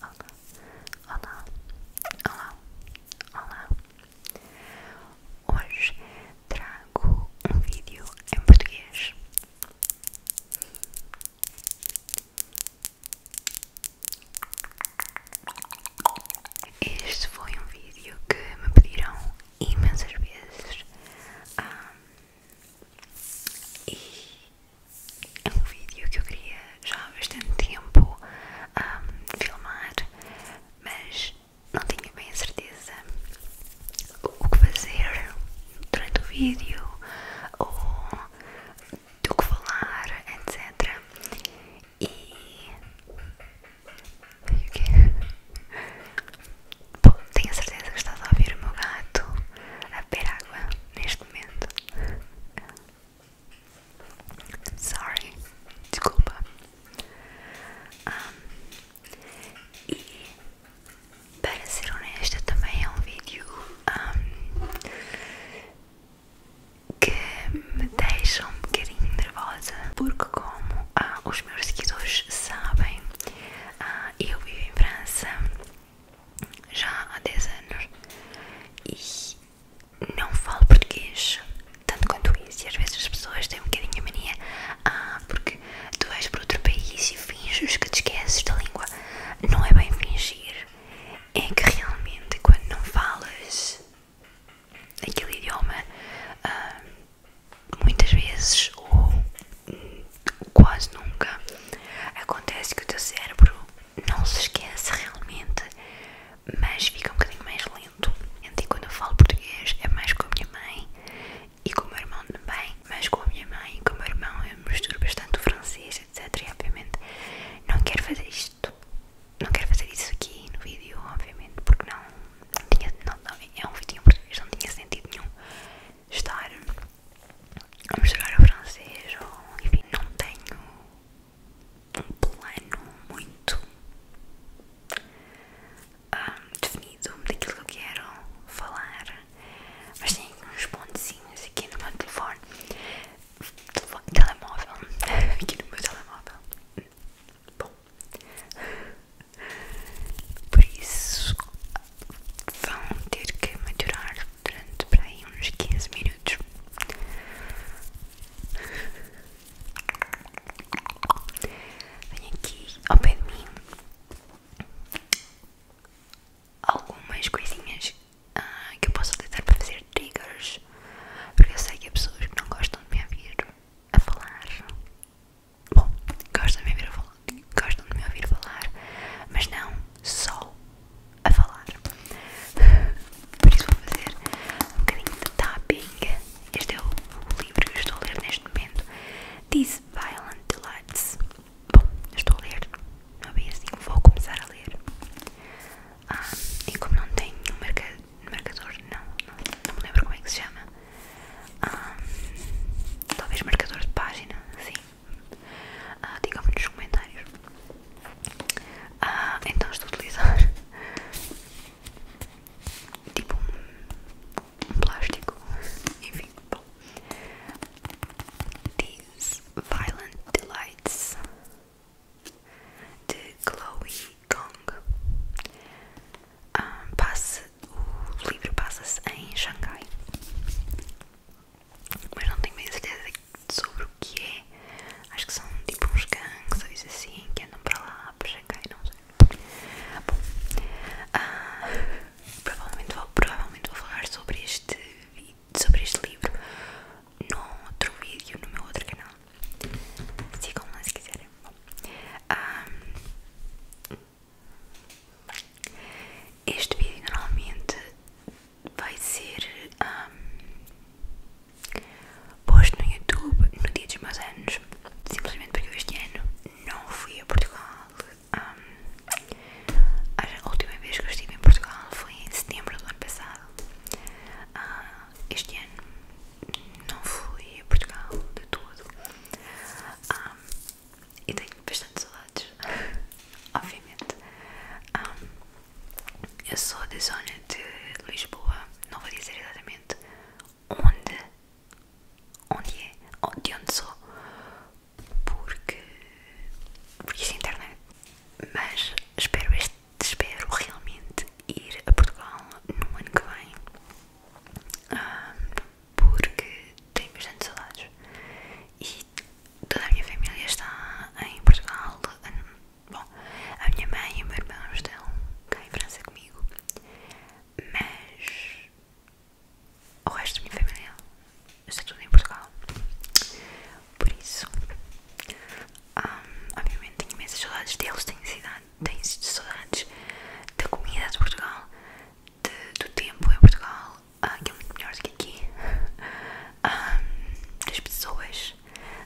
Olá, olá, olá, olá. Hoje trago um vídeo em português. Este foi um vídeo que me pediram imensas vezes. Um, ah, e é um vídeo que eu queria já há bastante tempo filmar, mas não tinha bem a certeza o que fazer durante o vídeo ou do que falar, etc. E. Bom, tenho a certeza que estás a ouvir o meu gato a beber água neste momento. Sorry, desculpa. e para ser honesta também é um vídeo que me deixa um bocadinho nervosa porque como ah, os meus seguidores sabem, ah, eu vivo em França já há 10 anos e não falo português tanto quanto isso. E às vezes as pessoas têm um bocadinho a mania, ah, porque tu vais para outro país e finges que te esqueces da língua. Não é bem fingir, é que realmente quando não falas aquele idioma, ah, muitas vezes ou quase nunca acontece que o teu cérebro não se esquece realmente, mas fica um bocadinho mais lento. E quando eu falo português é mais com a minha mãe e com o meu irmão também, mas com a minha mãe e com o meu irmão eu misturo bastante o francês, etc. E obviamente não quero fazer isto, não quero fazer isso aqui no vídeo, obviamente, porque não, tinha, não, não, é um vídeo em português, não tinha sentido nenhum estar Vamos chegar ao francês ou enfim, não tenho um plano muito ah, definido daquilo que eu quero falar, mas tenho uns pontezinhos aqui no meu telefone, telefone telemóvel, aqui no meu telemóvel. Bom, por isso vão ter que maturar durante para aí uns 15 minutos. Vem aqui ao pé de mim algumas coisinhas ah, que eu posso utilizar para fazer triggers, porque eu sei que há pessoas que não gostam de me ouvir a falar. Bom, gostam de me ouvir a falar, gostam de me ouvir falar, mas não só a falar. Por isso vou fazer um bocadinho de tapping. Este é o livro que eu estou a ler neste momento. These Violent Delights. Bom, estou a ler, não é bem assim, vou começar a ler. Ah, e como não tenho um marcador, não, não, me lembro como é que se chama. Ah, talvez marcador de página, sim diga ah, digam-me nos comentários ah, então estou a utilizar tipo um, plástico enfim, bom These Violent Delights de Chloe Gong ah, o livro passa-se em Xangai mas não tenho bem certeza sobre o que é. Acho que são tipo uns gangues assim que andam para lá, para cá e não sei. Bom, ah, provavelmente, vou, provavelmente vou falar sobre este, sobre este livro no outro vídeo, no meu outro canal. Sigam lá se quiserem. Bom, ah, este vídeo normalmente vai ser posto no YouTube no dia dos meus anos, simplesmente porque eu este ano não fui a Portugal. a última vez que eu estive em Portugal foi em setembro do ano passado. Ah, este ano não fui a Portugal de todo e tenho bastante saudades, obviamente. eu sou da zona de Lisboa, não vou dizer exatamente onde, onde é, de onde sou, porque por isso é internet. Mas espero, espero realmente ir a Portugal no ano que vem. porque tenho bastante saudades e toda a minha família está em Portugal. Bom, a minha mãe e o meu irmão estão cá em França comigo, mas o resto da minha família está tudo em Portugal. Por isso, hum, obviamente, tenho imensas saudades deles, tenho, cidade, tenho saudades da comida de Portugal, do tempo em Portugal, ah, que é muito melhor do que aqui, ah, das pessoas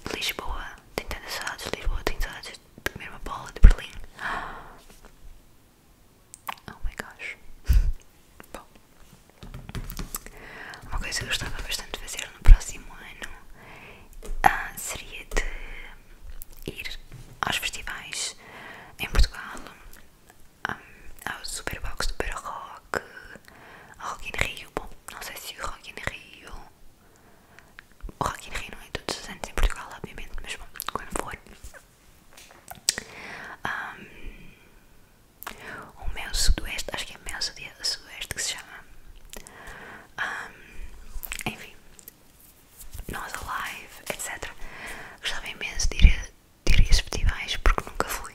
de Lisboa. Tenho tantas saudades de Lisboa, tenho saudades de comer uma bola de Berlim. Oh my gosh. Bom, uma coisa que eu gostava bastante de fazer no próximo ano ah, seria de ir aos festivais em Portugal ao ah, Superbox Super Rock, ao Rock in Rio, bom, não sei se o Rock in Rio, o Rock in Rio não é todos os anos em Portugal, obviamente, mas bom, quando for. o meu sudoeste, acho que é meu sudoeste que se chama. Um, ah, enfim, nós alive, etc. Gostava imenso de ir diria teorias festivais porque nunca fui.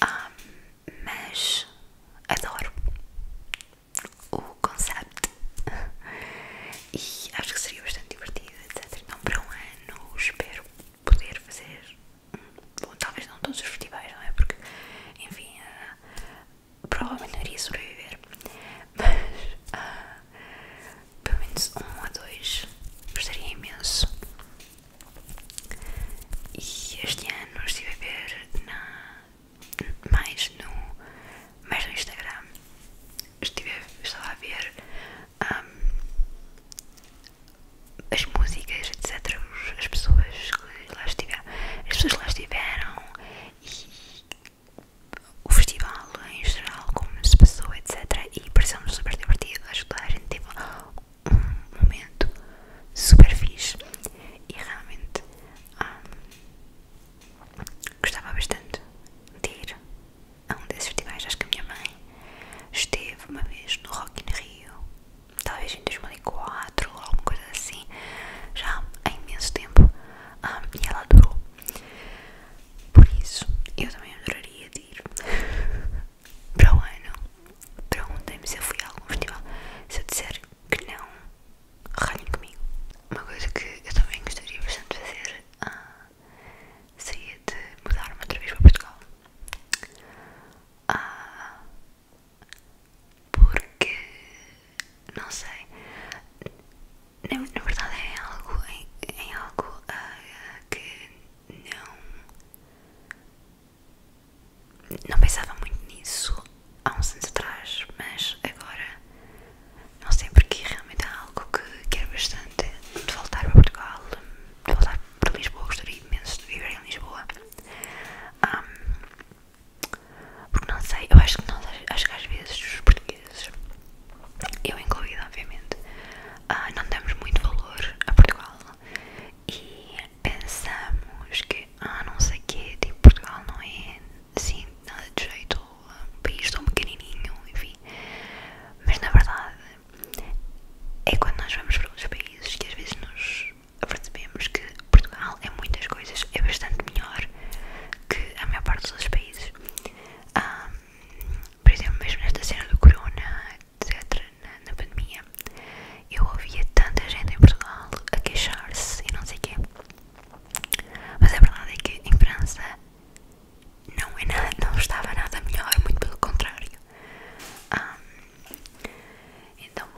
Ah, mas adoro o conceito e acho que seria bastante divertido, etc. Então, para um ano, espero poder fazer. Bom, talvez não todos os festivais, não é? Porque, enfim, ah, provavelmente não iria sobreviver. Mas ah, pelo menos um ou dois, gostaria imenso. E este ano estive a ver na, mais, no, mais no Instagram, estive, estava a ver hum, as músicas, etc. As pessoas que lá estiveram, as pessoas que lá estiveram e o festival em geral, como se passou, etc e pareceu-nos super divertido. Acho que toda a gente teve tipo, um momento super fixe e realmente hum, gostava bastante de ir a um desses festivais. Acho que a minha mãe esteve uma vez no Rock in Rio, talvez em 2004 ou alguma coisa assim, já há imenso tempo, hum, e ela durou Por isso, eu também adoraria gostaria de ir para o ano. para ontem se eu fui a algum festival. Se eu disser que não, ralhem comigo. Uma coisa que eu também gostaria bastante de fazer ah, seria de mudar-me outra vez para Portugal. Ah, porque não sei. Na, verdade é algo, é, é algo ah, que não. Não pensava muito nisso há uns anos atrás, mas agora não sei porque realmente é algo que quero bastante de voltar para Portugal, de voltar para Lisboa, gostaria imenso de viver em Lisboa. porque não sei, eu acho que às vezes os portugueses, eu incluído obviamente, ah, não damos muito valor a Portugal e pensamos que, ah, não sei o que, tipo, Portugal não é assim, nada de jeito, um país tão pequenininho, enfim. Mas na verdade, é quando nós vamos para outros países que às vezes nos percebemos que Portugal é muitas coisas, é bastante melhor que a maior parte dos outros países. Um, ah, por exemplo, é, mesmo nesta cena do corona, etc., na, pandemia, eu ouvia tanta gente em Portugal a queixar-se e não sei o quê. Mas a verdade é que em França não, é nada, não estava nada melhor, é muito pelo contrário. Um, então,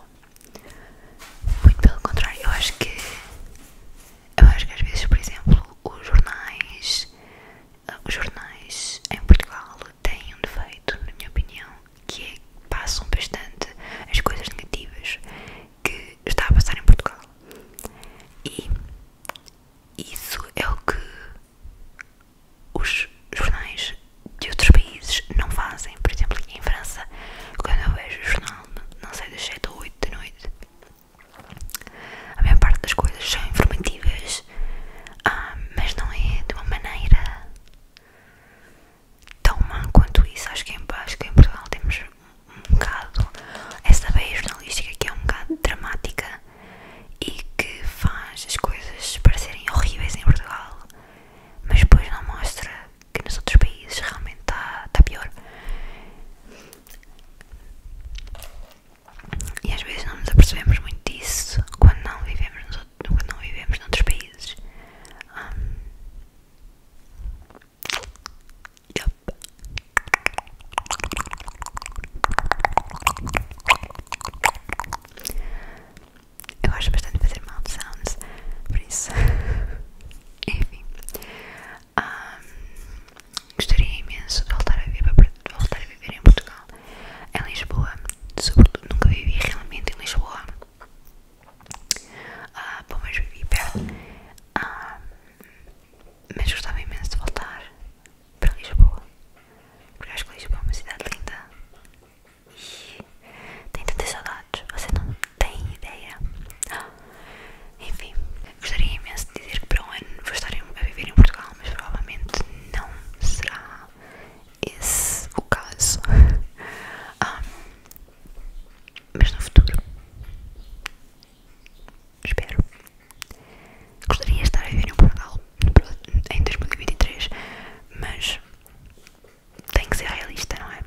muito pelo contrário, eu acho que eu acho que às vezes, por exemplo, os jornais os jornais em Portugal têm um defeito, na minha opinião, que é que passam bastante as coisas negativas que está a passar em Portugal. E isso é o que os jornais de outros países não fazem. Por exemplo, aqui em França, quando eu vejo o jornal, não sei, das 7 ou 8 da noite, a maior parte das coisas são informativas, ah, mas não é de uma maneira tão má quanto isso. Acho que, em, Portugal temos um bocado essa veia jornalística que é um bocado dramática e que faz as coisas parecerem horríveis em Portugal, mas depois não mostra que nos outros países realmente está pior. E às vezes não nos apercebemos muito disso quando não vivemos, quando não vivemos noutros países. Um, yep. Eu gosto bastante de fazer mouth sounds, por isso. Enfim. Um, gostaria imenso de voltar a viver, voltar a viver em Portugal, em Lisboa, sobretudo nunca vivi realmente em Lisboa, ah, bom, mas vivi perto, ah, mas gostava imenso de voltar para Lisboa, porque acho que Lisboa é uma cidade linda e tem tantas saudades, você não tem ideia. Ah, enfim, Gostaria imenso de dizer que para um ano vou estar a viver em Portugal, mas provavelmente não será esse o caso. Ah, mas no futuro, espero. Gostaria de estar a viver em Portugal em 2023, mas tem que ser realista, não é?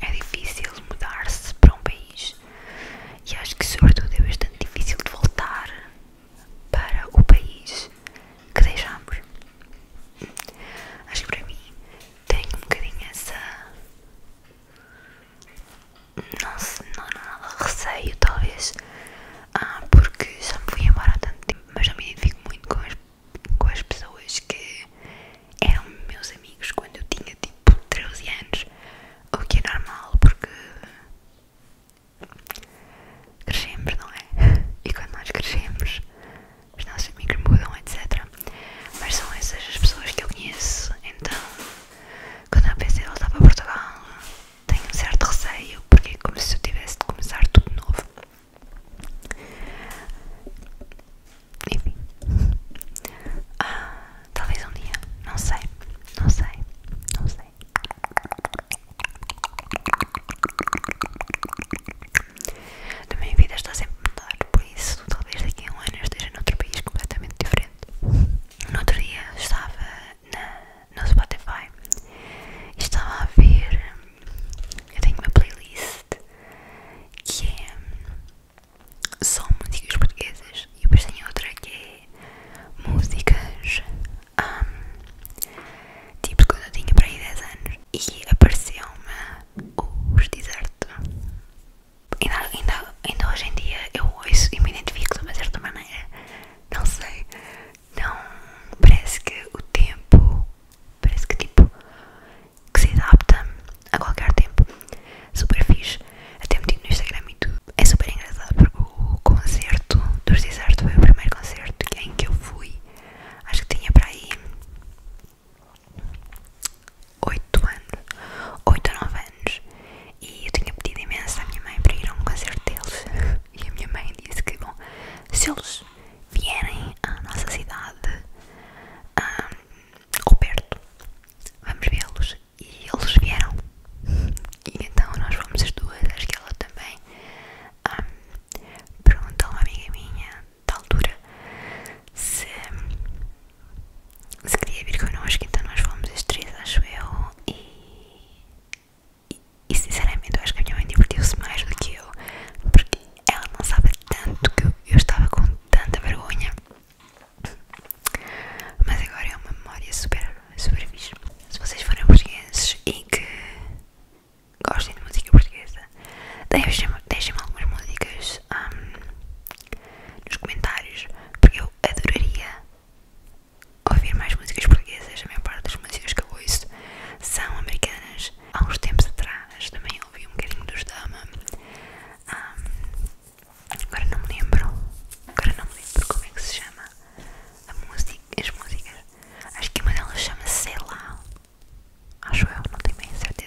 É difícil mudar-se para um país e acho que sobretudo é bastante difícil de voltar para o país que deixamos. Acho que para mim tem um bocadinho essa. Não, sei não, não, não, receio talvez, ah, porque já me fui embora há tanto tempo, mas já me identifico muito com as, com as pessoas que eram meus amigos quando eu tinha tipo 13 anos, o que é normal porque crescemos, não é? E quando nós crescemos, os nossos amigos mudam, etc. Mas são essas as pessoas que eu conheço. Então, quando eu pensei em voltar para Portugal, tenho um certo receio porque é como se eu tivesse de começar tudo de novo. Enfim. Ah, Talvez um dia, não sei, não sei, não sei. Da minha vida está sempre a mudar, por isso talvez daqui a um ano esteja noutro país completamente diferente. No outro dia estava no Spotify e estava a ver. Eu tenho uma playlist que é são músicas portuguesas e depois tem outra que é músicas um, tipo quando eu tinha para aí 10 anos e apareceu-me os deserto ainda, ainda, ainda hoje em dia eu ouço e me identifico de uma certa maneira não sei não parece que o tempo parece que tipo que se adapta a qualquer tempo. Super fixe, até me metido no Instagram e tudo. É super engraçado porque o concerto dos Deserto foi o primeiro concerto em que eu fui. Acho que tinha para aí 8 anos, 8 ou 9 anos. E eu tinha pedido imenso à minha mãe para ir a um concerto deles. E a minha mãe disse que, bom, se eles vierem à nossa cidade, um, ou perto vamos vê-los. E eles vieram. E então nós fomos as duas, acho que ela também. Um, perguntou uma amiga minha, da altura, se, queria vir connosco. Então nós fomos as três, acho eu. E, sinceramente, acho que a minha mãe divertiu-se mais do que eu, porque ela não sabe tanto que eu estava com tanta vergonha. Mas agora é uma memória super, super fixe. Se vocês forem portugueses e que gostem de música portuguesa, deixem-me deixem algumas músicas hum, nos comentários, porque eu adoraria ouvir mais músicas portuguesas. A maior parte das músicas que eu ouço são americanas. Há uns tempos atrás também ouvi um bocadinho dos Dama. Hum, Agora não me lembro. Agora não me lembro como é que se chama a música, as músicas. Acho que uma delas chama Sei lá. Acho eu, não tenho bem certeza.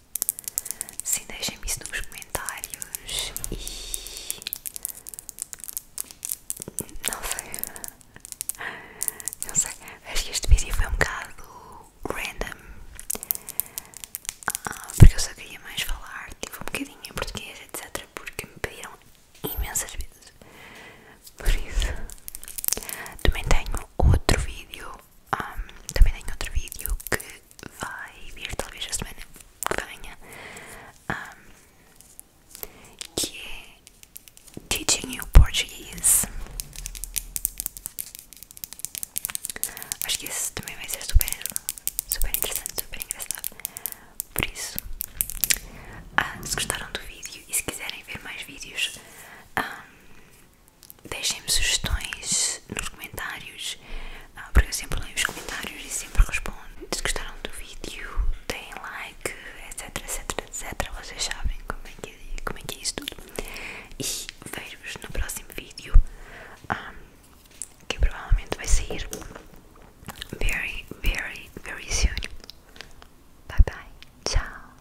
Sim, deixem-me isso nos comentários e não sei, não sei, acho que este vídeo foi um bocado random ah, porque eu só queria mais falar tive tipo, um bocadinho em português, etc. Porque me pediram imensas vezes. Por isso, também tenho outro vídeo também tenho outro vídeo que vai vir talvez a semana que venha que é Teaching You Portuguese acho que esse também vai ser super, super interessante, super engraçado por isso ah, se gostaram do vídeo e se quiserem ver mais vídeos deixem-me sugestões nos comentários, ah, porque eu sempre leio os comentários e sempre respondo. Se gostaram do vídeo, deem like, etc, etc, etc. Vocês sabem como é que é, como é, que é isso tudo. E vejo-vos no próximo vídeo, ah, que provavelmente vai sair very, very, very soon. Bye bye. Tchau.